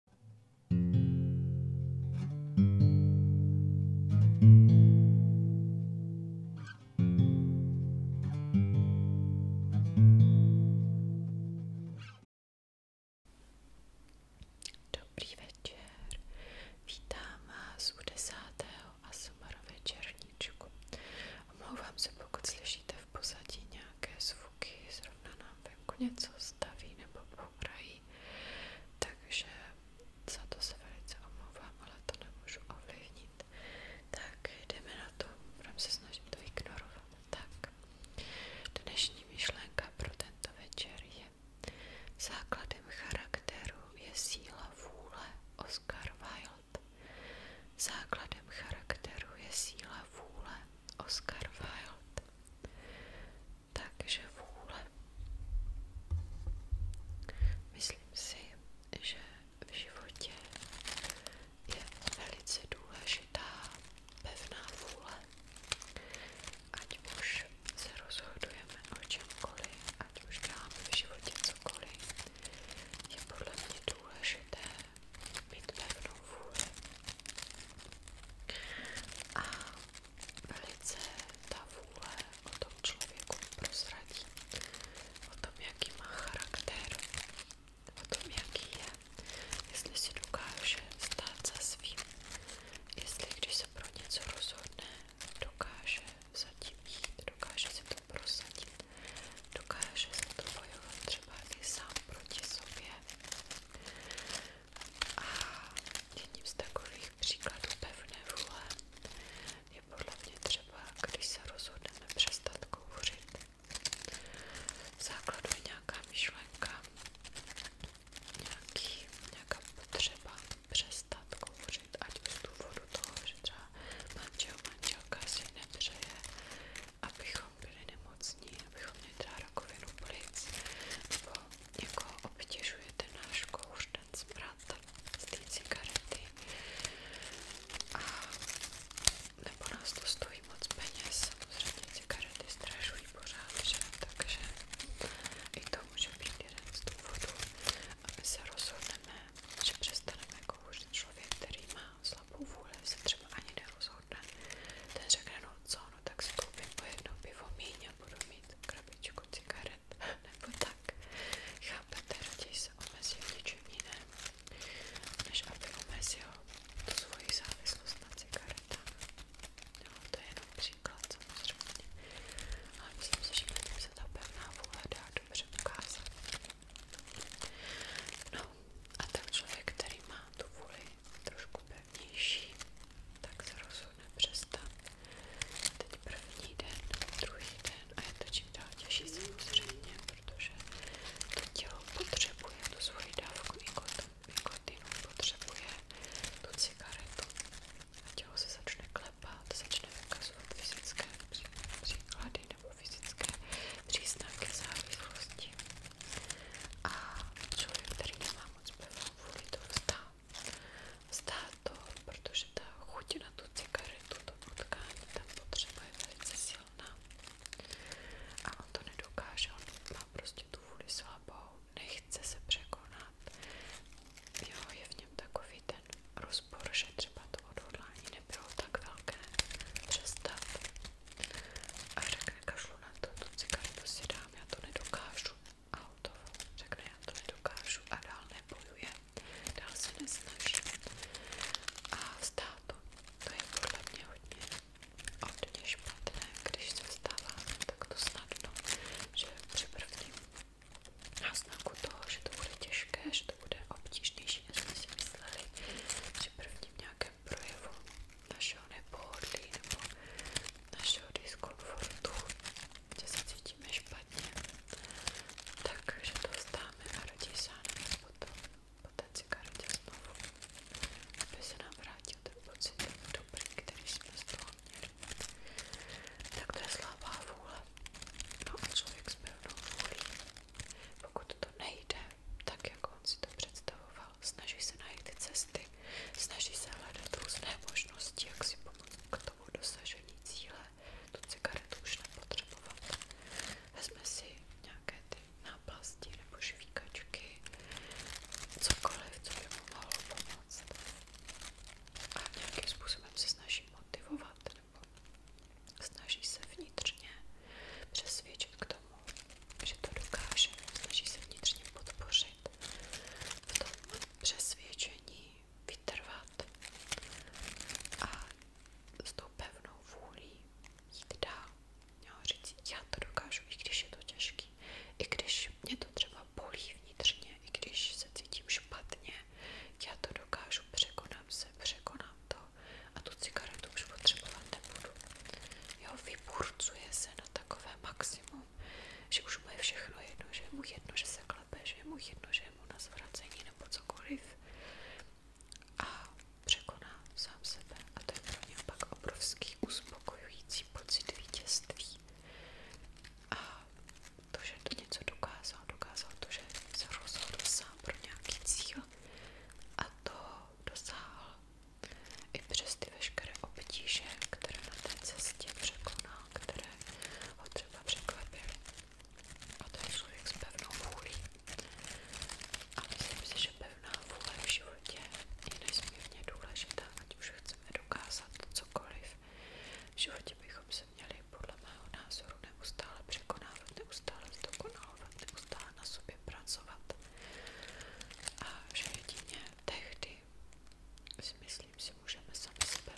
Dobrý večer, vítám vás u desátého a večerníčku. Omlouvám se, pokud slyšíte v pozadí nějaké nějaké zvuky, zrovna nám venku něco staví nebo bourají, takže za to se velice omlouvám, ale to nemůžu ovlivnit. Tak jdeme na to, budeme se snažit to ignorovat. Tak, dnešní myšlenka pro tento večer je základem charakteru je síla vůle Oscar Wilde. Základem charakteru je síla vůle. Oscar Wilde. Takže vůle. Myslím si, že v životě je velice důležitá pevná vůle. Ať už se rozhodujeme o čemkoliv, ať už děláme v životě cokoliv, je podle mě důležité mít pevnou vůli. A velice ta vůle o tom člověku prozradí, o tom, jaký má charakter, o tom, jaký je, jestli si dokáže stát za svým, jestli když se pro něco rozhodne, dokáže zatím jít, dokáže si to prosadit. Dokáže se to bojovat třeba i sám proti sobě. A jedním z takových příkladů pevné vůle je podle mě třeba, když se rozhodneme přestat kouřit. V základu je nějaká myšlenka, nějaký, nějaká potřeba přestat kouřit, ať z důvodu toho, že třeba manžel, manželka si nepřeje abychom byli nemocní, abychom měli třeba rakovinu plic, nebo někoho jako obtěžuje ten náš kouř, ten smrad z té cigarety, a nebo nás to stojí moc peněz, samozřejmě cigarety strašují pořád, že? takže i to může být jeden z důvodů, aby se rozhodneme, že přestaneme kouřit člověk, který má slabou vůli se třeba ani nerozhodne. Ten řekne, no co, no tak si koupím po jedno pivo míň a budu mít krabičku cigaret, nebo tak. Chápete, raději se omezí v něčem jiném, než aby omezil tu svoji závislost na cigaretách. No, to je jenom příklad samozřejmě. Ale myslím si, že se ta pevná vůle dá dobře ukázat. No a tak člověk, který má tu vůli trošku pevnější, tak se rozhodne přestat. Teď první den, druhý den a je to čím dál těžší samozřejmě, protože to tělo potřebuje tu svoji dávku nikotinu, potřebuje tu cigaretu a tělo se začne klepat, začne vykazovat fyzické příklady nebo fyzické příznaky závislosti. A člověk, který nemá moc pevnou vůli, to vzdá. Vzdá to, protože ta chuť na tu cigaretu, to potkání, tam potřeba je velice silná. A on to nedokáže, on má prostě tu vůli slabou, nechce se překonat. Jo, je v něm takový ten roz rozpor, že třeba to odhodlání nebylo tak velké přestat a řekne kašlu na to, tu cigaretu prostě si dám, já to nedokážu a hotovo, řekne já to nedokážu a dál nebojuje, dál se nesnaží a vzdá to, to je podle mě hodně hodně špatné, když se vzdáváme takto snadno, že při prvním náznaku toho, že to bude těžké, že to bude obtížnější, než jsme si mysleli při prvním nějakém projevu našeho nepohodlí nebo našeho diskomfortu, že se cítíme špatně, takže to vzdáme a rodí se nám potom, poté cigaretě znovu, aby se nám vrátil ten pocit dobrý, který jsme z toho tak to je slabá vůle. No a člověk s pevnou vůlí. Pokud to nejde, tak jak on si to představoval, snaží se najít ty cesty, snaží se hledat různé možnosti, jak si pomoct k tomu dosažení cíle. Tu cigaretu už nepotřebovat. Vezme si nějaké ty náplasti nebo žvíkačky, cokoliv, co by mu mohlo pomoct pomoct. A nějakým způsobem se snaží motivovat nebo snaží se vnitřně přesvědčit k tomu, že to dokáže, snaží se vnitřně podpořit v tom přesvědčení vytrvat a s tou pevnou vůlí jít dál. Jo, říct, já to dokážu, i když je to těžký, i když když mě to třeba bolí vnitřně, i když se cítím špatně, já to dokážu, překonám se, překonám to a tu cigaretu už potřebovat nebudu. Jo, vyburcuje se na takové maximum, že už mu je všechno jedno, že je mu jedno, že se klepe, že je mu jedno, že je mu na zvracení nebo cokoliv a překoná sám sebe a to je pro mě pak obrovský uspokojující pocit vítězství. A to, že to něco dokázal, dokázal to, že se rozhodl sám pro nějaký cíl a to dosáhl i přes ty veškeré obtíže, které na té cestě překonal, které ho třeba překvapily. A to je člověk s pevnou vůlí. A myslím si, že pevná vůle v životě je nesmírně důležitá, ať už chce chceme dokázat cokoliv. V životě bychom se měli podle mého názoru neustále překonávat, neustále zdokonalovat, neustále na sobě pracovat. A že jedině tehdy myslím, si můžeme sami sebe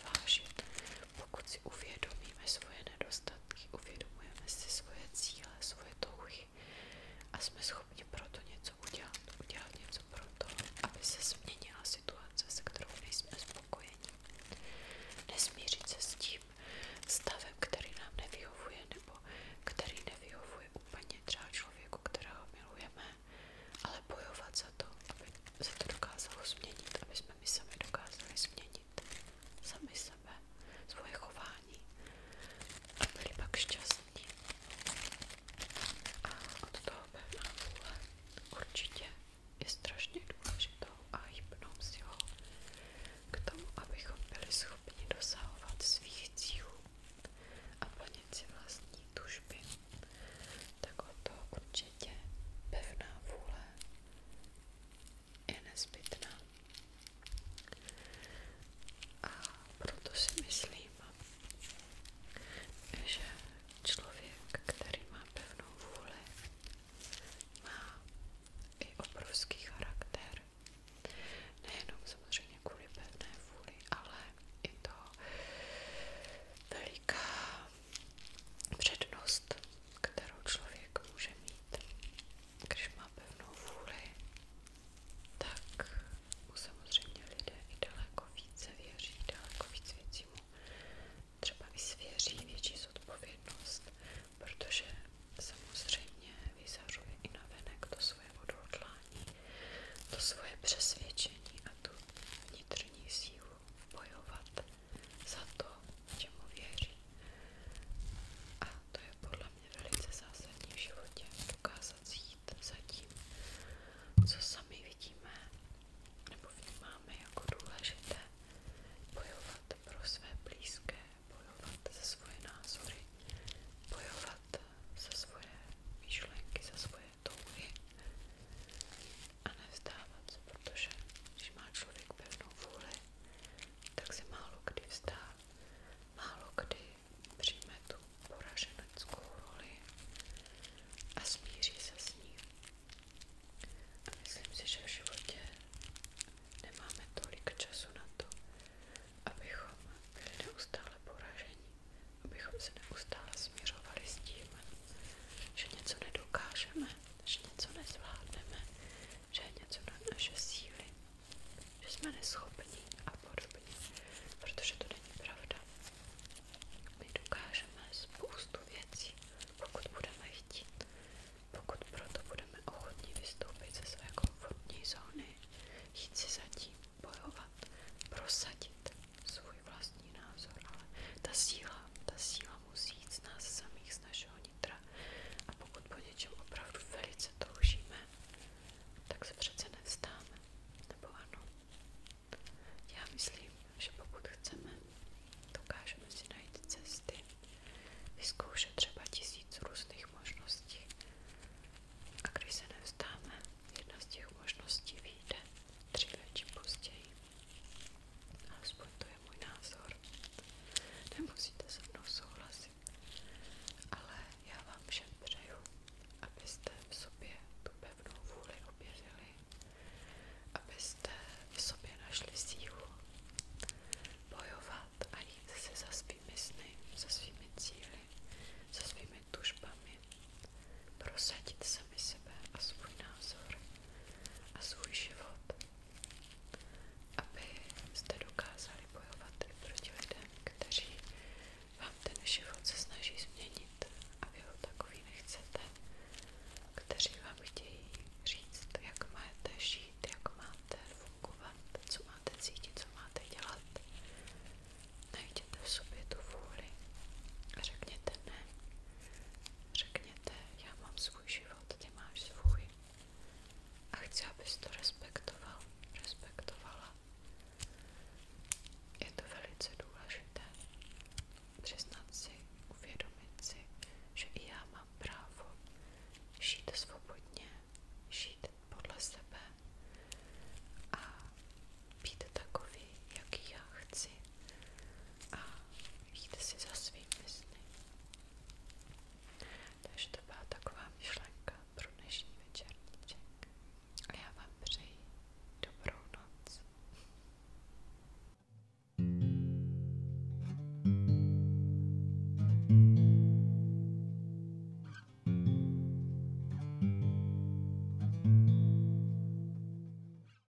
pokud si uvědomíme svoje nedostatky, uvědomujeme si svoje cíle, svoje touhy a jsme schopni proto něco něco udělat, udělat něco pro aby se změnila situace, se kterou nejsme spokojeni. Nesmířit se s tím stavem, který nám nevyhovuje, nebo který nevyhovuje úplně třeba člověku, kterého milujeme, ale bojovat za to, aby se to dokázalo změnit, aby jsme my sami dokázali změnit sami sebe, svoje chování a byli pak a od toho pevná vůle určitě je strašně důležitou a hybnou silou k tomu, abychom byli schopni dosahovat svých cílů a plnit si vlastní tužby. Tak o to určitě pevná vůle je nezbytná. A proto si myslím, že člověk, který má pevnou vůli, má i obrovský charakter. Nejenom samozřejmě kvůli pevné vůli, ale i to veliká přednost, kterou člověk může mít když má pevnou vůli, tak mu samozřejmě lidé i daleko více věří, daleko víc věcí mu třeba vysvěří větší zodpovědnost, protože samozřejmě vyzařuje i navenek to svoje odhodlání, to svoje přesvědčení a tu vnitřní sílu bojovat za to, čemu věří. A to je podle mě velice zásadní v životě dokázat jít za tím, co sami vidíme nebo vnímáme jako důležité, bojovat pro své blízké, bojovat za svoje názory, bojovat za svoje myšlenky, za svoje touhy a nevzdávat protože když má člověk pevnou vůli, tak málo kdy vzdá málo kdy přijme tu poraženeckou roli a smíří se s ní. A myslím si, že v životě nemáme tolik času na to, abychom byli neustále poraženi, abychom se neustále směřovali s tím, že něco nedokážeme, že něco nezvládneme, že je něco na naše síly že jsme neschopní a podobně, protože to není pravda. My dokážeme spoustu věcí, pokud budeme chtít, pokud proto budeme ochotní vystoupit ze své komfortní zóny, jít si zatím, bojovat, prosadit svůj vlastní názor, ale ta síla, ta síla musí jít z nás samých, z našeho nitra a pokud po něčem opravdu velice toužíme, tak se přece nevstáme, nebo ano. Já myslím, že pokud chceme, dokážeme si najít cesty, vyzkoušet třeba tisíc různých možností a když se nevstáme, jedna z těch možností vyjde dříve či později. Aspoň to je můj názor. Nemusíte se mnou souhlasit, ale já vám všem přeju, abyste v sobě tu pevnou vůli objevili, abyste v sobě našli sílu bojovat a jít si za svými sny, za svými cíly, za svými tužbami, prosadit sami sebe a svůj názor a svůj život abyste dokázali bojovat proti lidem, kteří vám ten život se snaží změnit a vy ho takový nechcete, kteří vám chtějí říct, jak máte žít, jak máte fungovat, co máte cítit, co máte dělat. Najděte v sobě tu vůli a řekněte ne. Řekněte, já mám svůj život, prostě svůj a chci, abys to respektoval, respektovala. Je to velice důležité přiznat si, uvědomit že já mám právo žít svobodně, žít podle sebe a být takový, jaký já chci a jít si za svými sny. Takže to byla taková myšlenka pro dnešní večerníček. A já vám přeji dobrou noc.